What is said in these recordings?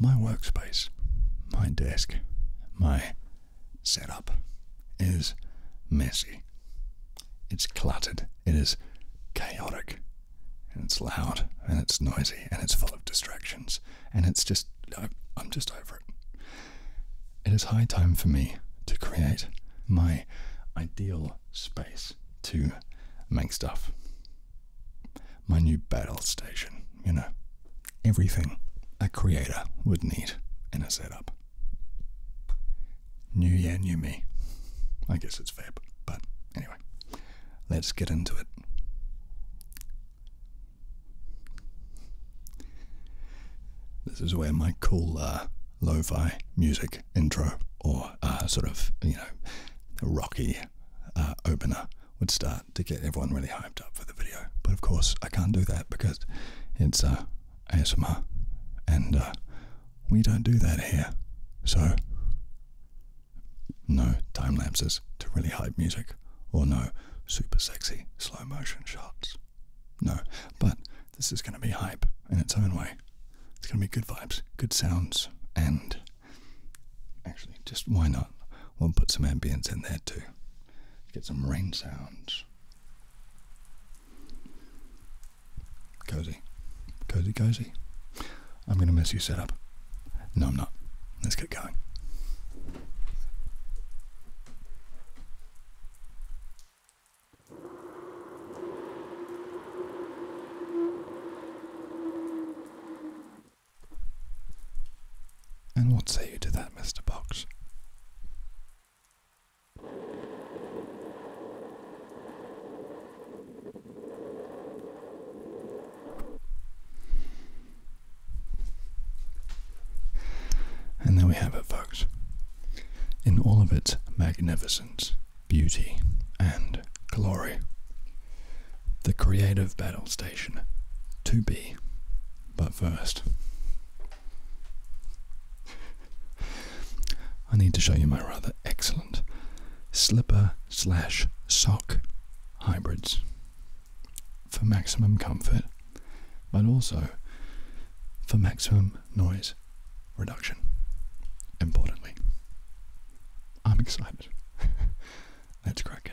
My workspace, my desk, my setup is messy. It's cluttered, it is chaotic, and it's loud, and it's noisy, and it's full of distractions, and it's just, I'm just over it. It is high time for me to create my ideal space to make stuff. My new battle station, you know, everything a creator would need in a setup. New year, new me. I guess it's Feb, but anyway, let's get into it. This is where my cool uh, lo fi music intro or uh, sort of, you know, rocky uh, opener would start to get everyone really hyped up for the video. But of course, I can't do that because it's uh, ASMR and uh, we don't do that here. So, no time lapses to really hype music or no super sexy slow motion shots. No, but this is going to be hype in its own way. It's going to be good vibes, good sounds, and actually, just why not? We'll put some ambience in there too. Get some rain sounds. Cozy. Cozy, cozy. I'm going to mess you set up. No, I'm not. Let's get going. And what say you to that, Mr. Box? And there we have it, folks. In all of its magnificence, beauty, and glory. The creative battle station to be, but first. I need to show you my rather excellent slipper slash sock hybrids for maximum comfort, but also for maximum noise reduction. Importantly, I'm excited. Let's crack in.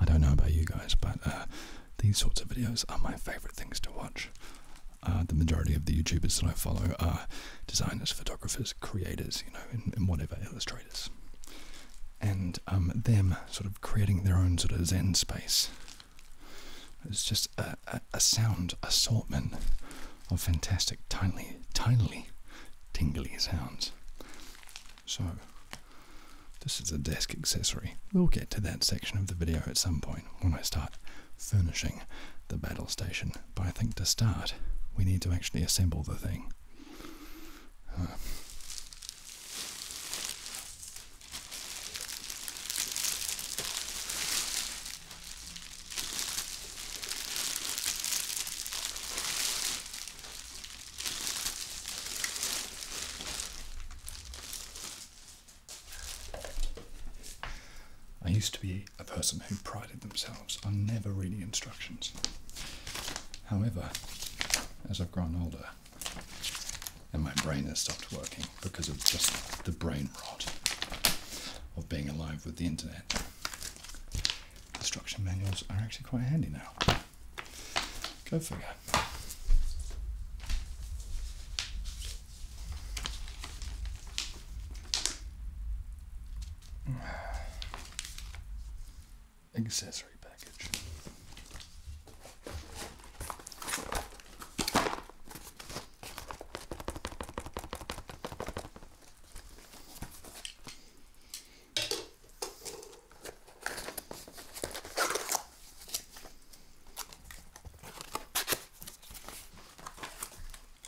I don't know about you guys, but uh, these sorts of videos are my favorite things to watch. Uh, the majority of the YouTubers that I follow are designers, photographers, creators, you know, and, whatever, illustrators. And um, them sort of creating their own sort of Zen space. It's just a, sound assortment of fantastic, tiny, tiny, tingly sounds. So, this is a desk accessory. We'll get to that section of the video at some point when I start furnishing the battle station but I think to start, we need to actually assemble the thing. I used to be a person who prided themselves on never reading instructions. However, as I've grown older, and my brain has stopped working because of just the brain rot of being alive with the internet. Instruction manuals are actually quite handy now. Go figure. Accessory package.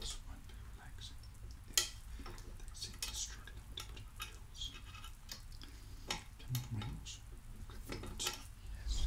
This might be relaxing if they seem to struggle to put up pills. Can rings good words? Yes.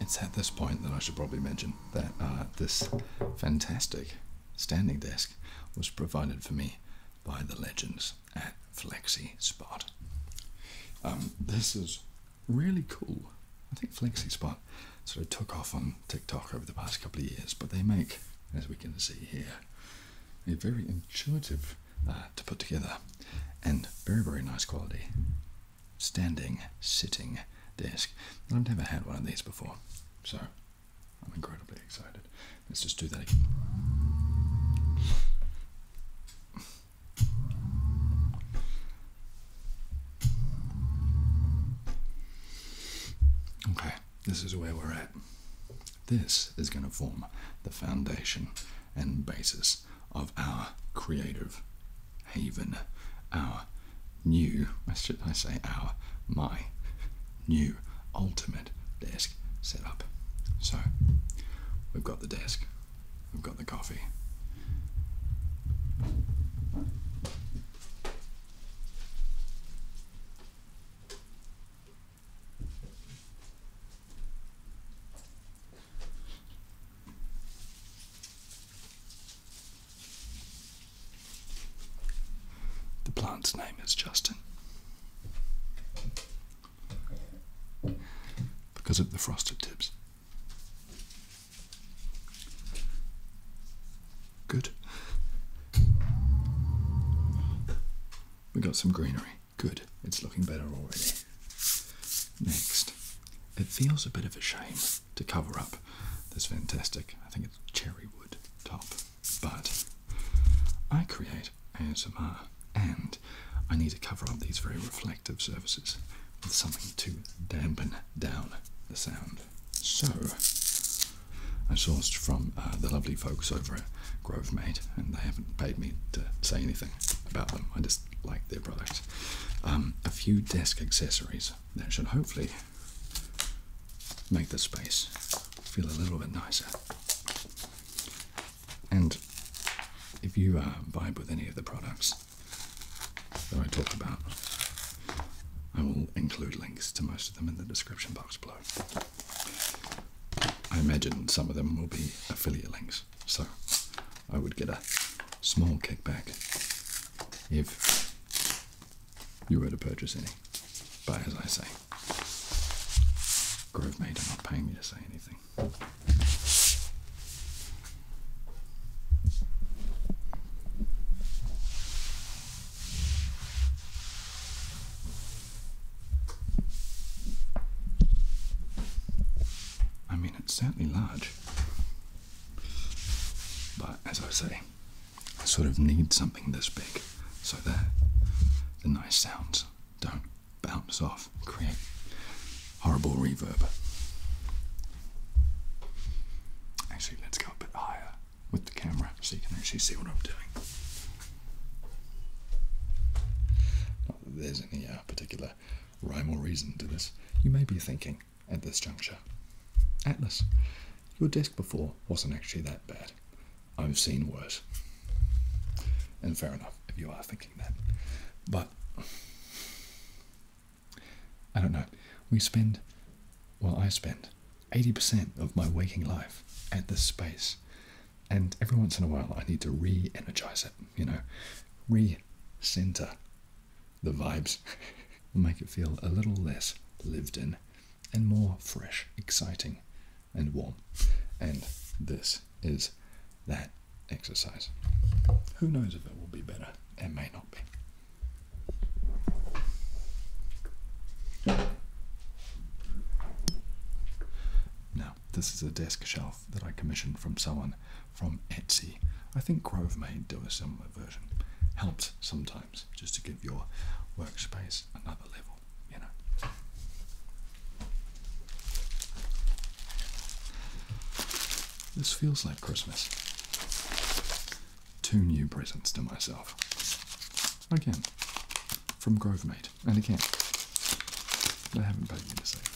It's at this point that I should probably mention that uh, this fantastic standing desk was provided for me by the legends at Flexi Spot. Um, this is really cool. I think Flexi Spot sort of took off on TikTok over the past couple of years, but they make, as we can see here, a very intuitive uh, to put together and very, very nice quality standing, sitting desk. I've never had one of these before, so I'm incredibly excited. Let's just do that again. Okay, this is where we're at. This is going to form the foundation and basis of our creative haven, our new, i should I say our, my new ultimate desk setup. So, we've got the desk, we have got the coffee. The plant's name is Justin. Because of the frosted tips. Good. We got some greenery. Good. It's looking better already. Next. It feels a bit of a shame to cover up this fantastic, I think it's cherry wood top, but I create ASMR and I need to cover up these very reflective reflective surfaces with something to dampen down the sound. So, I sourced from uh, the lovely folks over at Grovemate, and they haven't paid me to say anything about them. I just like their products. Um, a few desk accessories that should hopefully make the space feel a little bit nicer. And if you uh, vibe with any of the products, that I talk about. I will include links to most of them in the description box below. I imagine some of them will be affiliate links, so I would get a small kickback if you were to purchase any. But as I say, Grove Maid are not paying me to say anything. I mean, it's certainly large, but as I say, I sort of need something this big so that the nice sounds don't bounce off, create horrible reverb. Actually, let's go a bit higher with the camera so you can actually see what I'm doing. Not that there's any uh, particular rhyme or reason to this. You may be thinking at this juncture, Atlas, your desk before wasn't actually that bad. I've seen worse. And fair enough if you are thinking that. But I don't know. We spend, well, I spend 80% of my waking life at this space. And every once in a while, I need to re energize it, you know, re center the vibes, make it feel a little less lived in and more fresh, exciting, and warm. And this is that exercise. Who knows if it will be better? It may not be. Now, this is a desk shelf that I commissioned from someone from Etsy. I think Grove may do a similar version. Helps sometimes just to give your workspace another level, you know. This feels like Christmas. Two new presents to myself. Again, from Grovemate. And again, they haven't paid me to say this.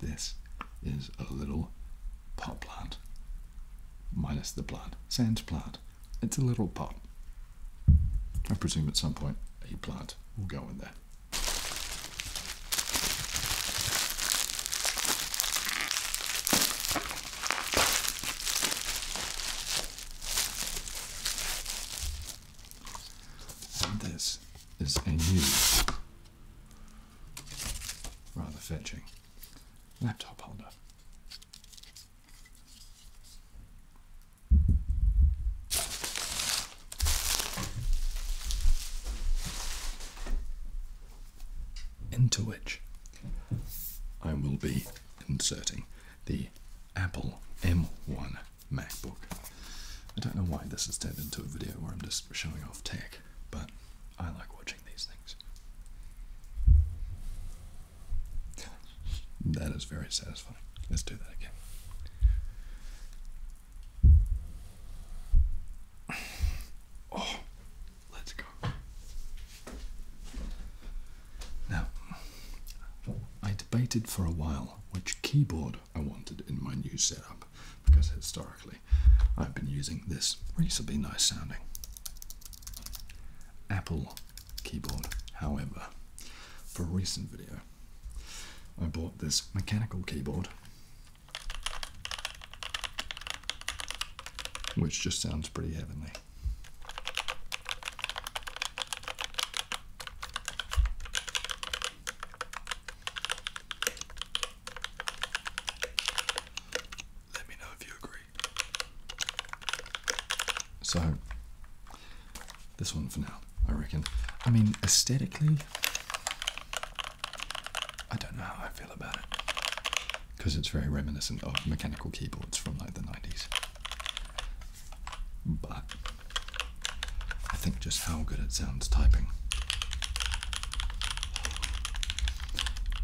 This is a little pot plant, minus the plant, sand plant. It's a little pot. I presume at some point a plant will go in there. this is a new Rather fetching. Laptop holder. Into which I will be inserting the Apple M1 MacBook. I don't know why this is turned into a video where I'm just showing off tech. But I like watching these things. that is very satisfying. Let's do that again. Oh, let's go. Now, I debated for a while which keyboard I wanted in my new setup because historically I've been using this reasonably nice sounding Apple keyboard. However, for a recent video, I bought this mechanical keyboard which just sounds pretty heavenly. Let me know if you agree. So, this one for now, I reckon. I mean, aesthetically, I don't know how I feel about it. Because it's very reminiscent of mechanical keyboards from like the 90s. But I think just how good it sounds typing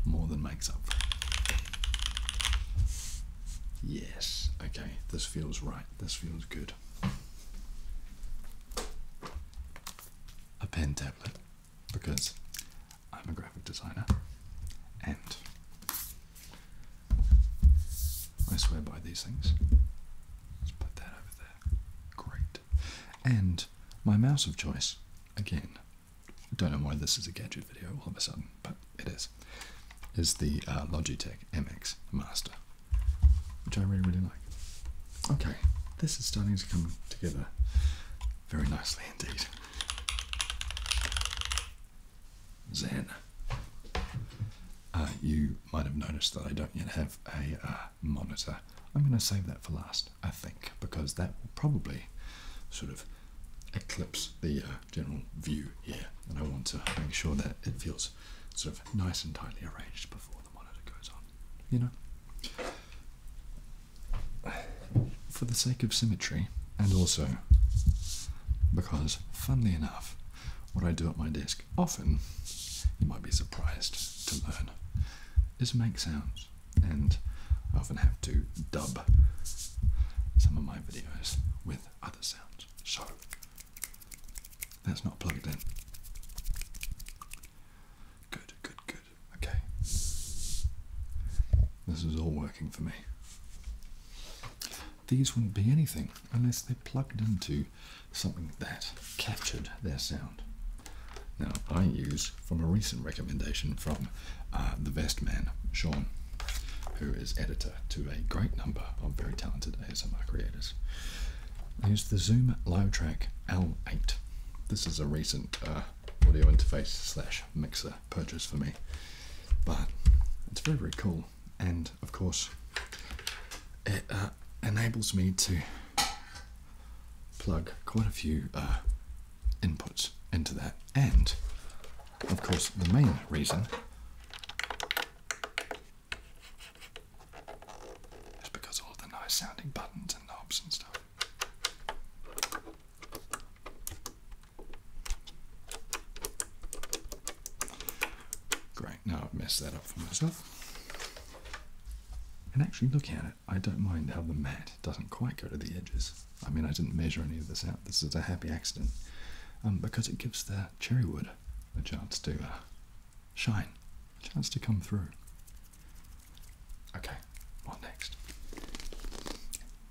more than makes up for it. Yes, okay, this feels right, this feels good. A pen tablet, because I'm a graphic designer and I swear by these things. Let's put that over there. Great. And my mouse of choice, again, don't know why this is a gadget video all of a sudden, but it is, is the uh, Logitech MX Master, which I really, really like. Okay, this is starting to come together very nicely indeed. Zen. Uh, you might have noticed that I don't yet have a uh, monitor I'm going to save that for last, I think, because that will probably sort of eclipse the uh, general view here. And I want to make sure that it feels sort of nice and tightly arranged before the monitor goes on, you know? For the sake of symmetry, and also because, funnily enough, what I do at my desk often, you might be surprised to learn, is make sounds, and I often have to dub some of my videos with other sounds. So that's not plugged in. Good, good, good. Okay. This is all working for me. These wouldn't be anything unless they're plugged into something that captured their sound. Now, I use from a recent recommendation from uh, the best man, Sean, who is editor to a great number of very talented ASMR creators. I use the Zoom Low Track L8. This is a recent uh, audio interface slash mixer purchase for me, but it's very, very cool. And of course, it uh, enables me to plug quite a few uh, inputs into that. And, of course, the main reason is because all the nice sounding buttons and knobs and stuff. Great, now I've messed that up for myself. And actually, look at it. I don't mind how the mat doesn't quite go to the edges. I mean, I didn't measure any of this out. This is a happy accident um, because it gives the cherry wood a chance to uh, shine, a chance to come through. Okay, what next?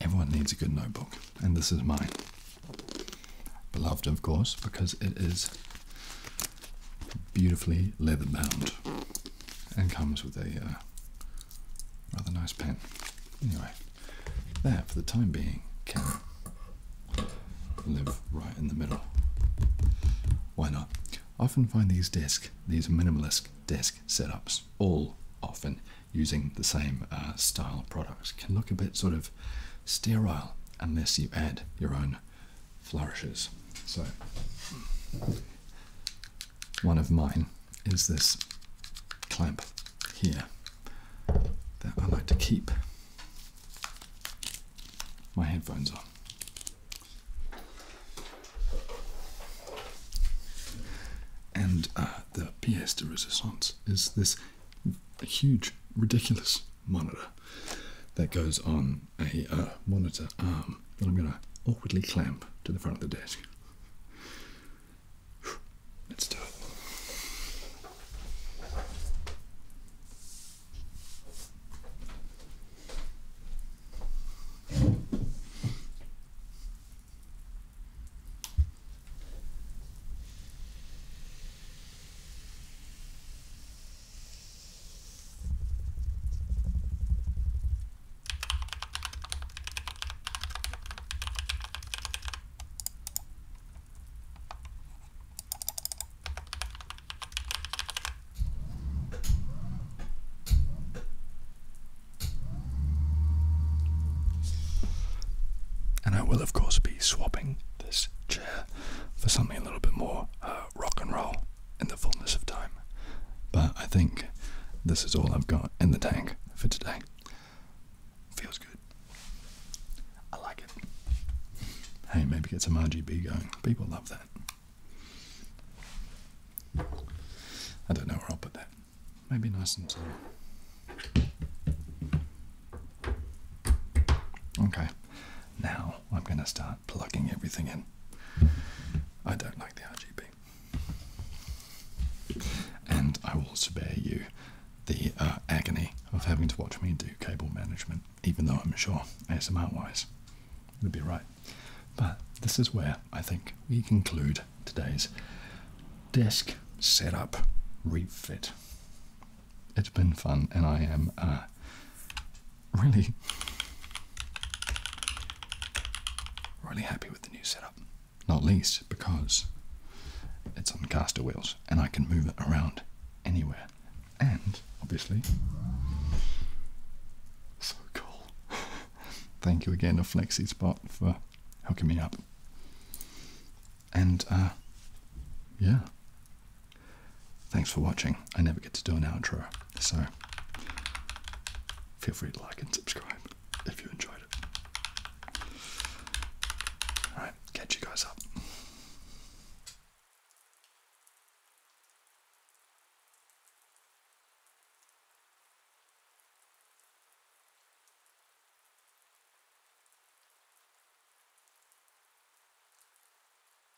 Everyone needs a good notebook, and this is mine. Beloved, of course, because it is beautifully leather bound and comes with a uh, rather nice pen. Anyway, there for the time being can live right in the middle. Why not? often find these desk, these minimalist desk setups, all often using the same uh, style products, can look a bit sort of sterile unless you add your own flourishes. So, one of mine is this clamp here that I like to keep my headphones on. And uh, the pièce de résistance is this huge, ridiculous monitor that goes on a monitor arm um, that I'm going to awkwardly clamp to the front of the desk. Let's do it. And I will, of course, be swapping this chair for something a little bit more uh, rock and roll in the fullness of time. But I think this is all I've got in the tank for today. Feels good. I like it. Hey, maybe get some RGB going. People love that. I don't know where I'll put that. Maybe nice and slow. Okay. Now I'm going to start plugging everything in. I don't like the RGB. And I will spare you the uh, agony of having to watch me do cable management, even though I'm sure ASMR wise it'll be right. But this is where I think we conclude today's desk setup refit it's been fun, and I am uh, really, really happy with the new setup. Not least because it's on caster wheels, and I can move it around anywhere. And obviously, so cool. Thank you again to Flexi Spot for hooking me up. And uh, yeah, Thanks for watching. I never get to do an outro, so feel free to like and subscribe if you enjoyed it. Alright, catch you guys up.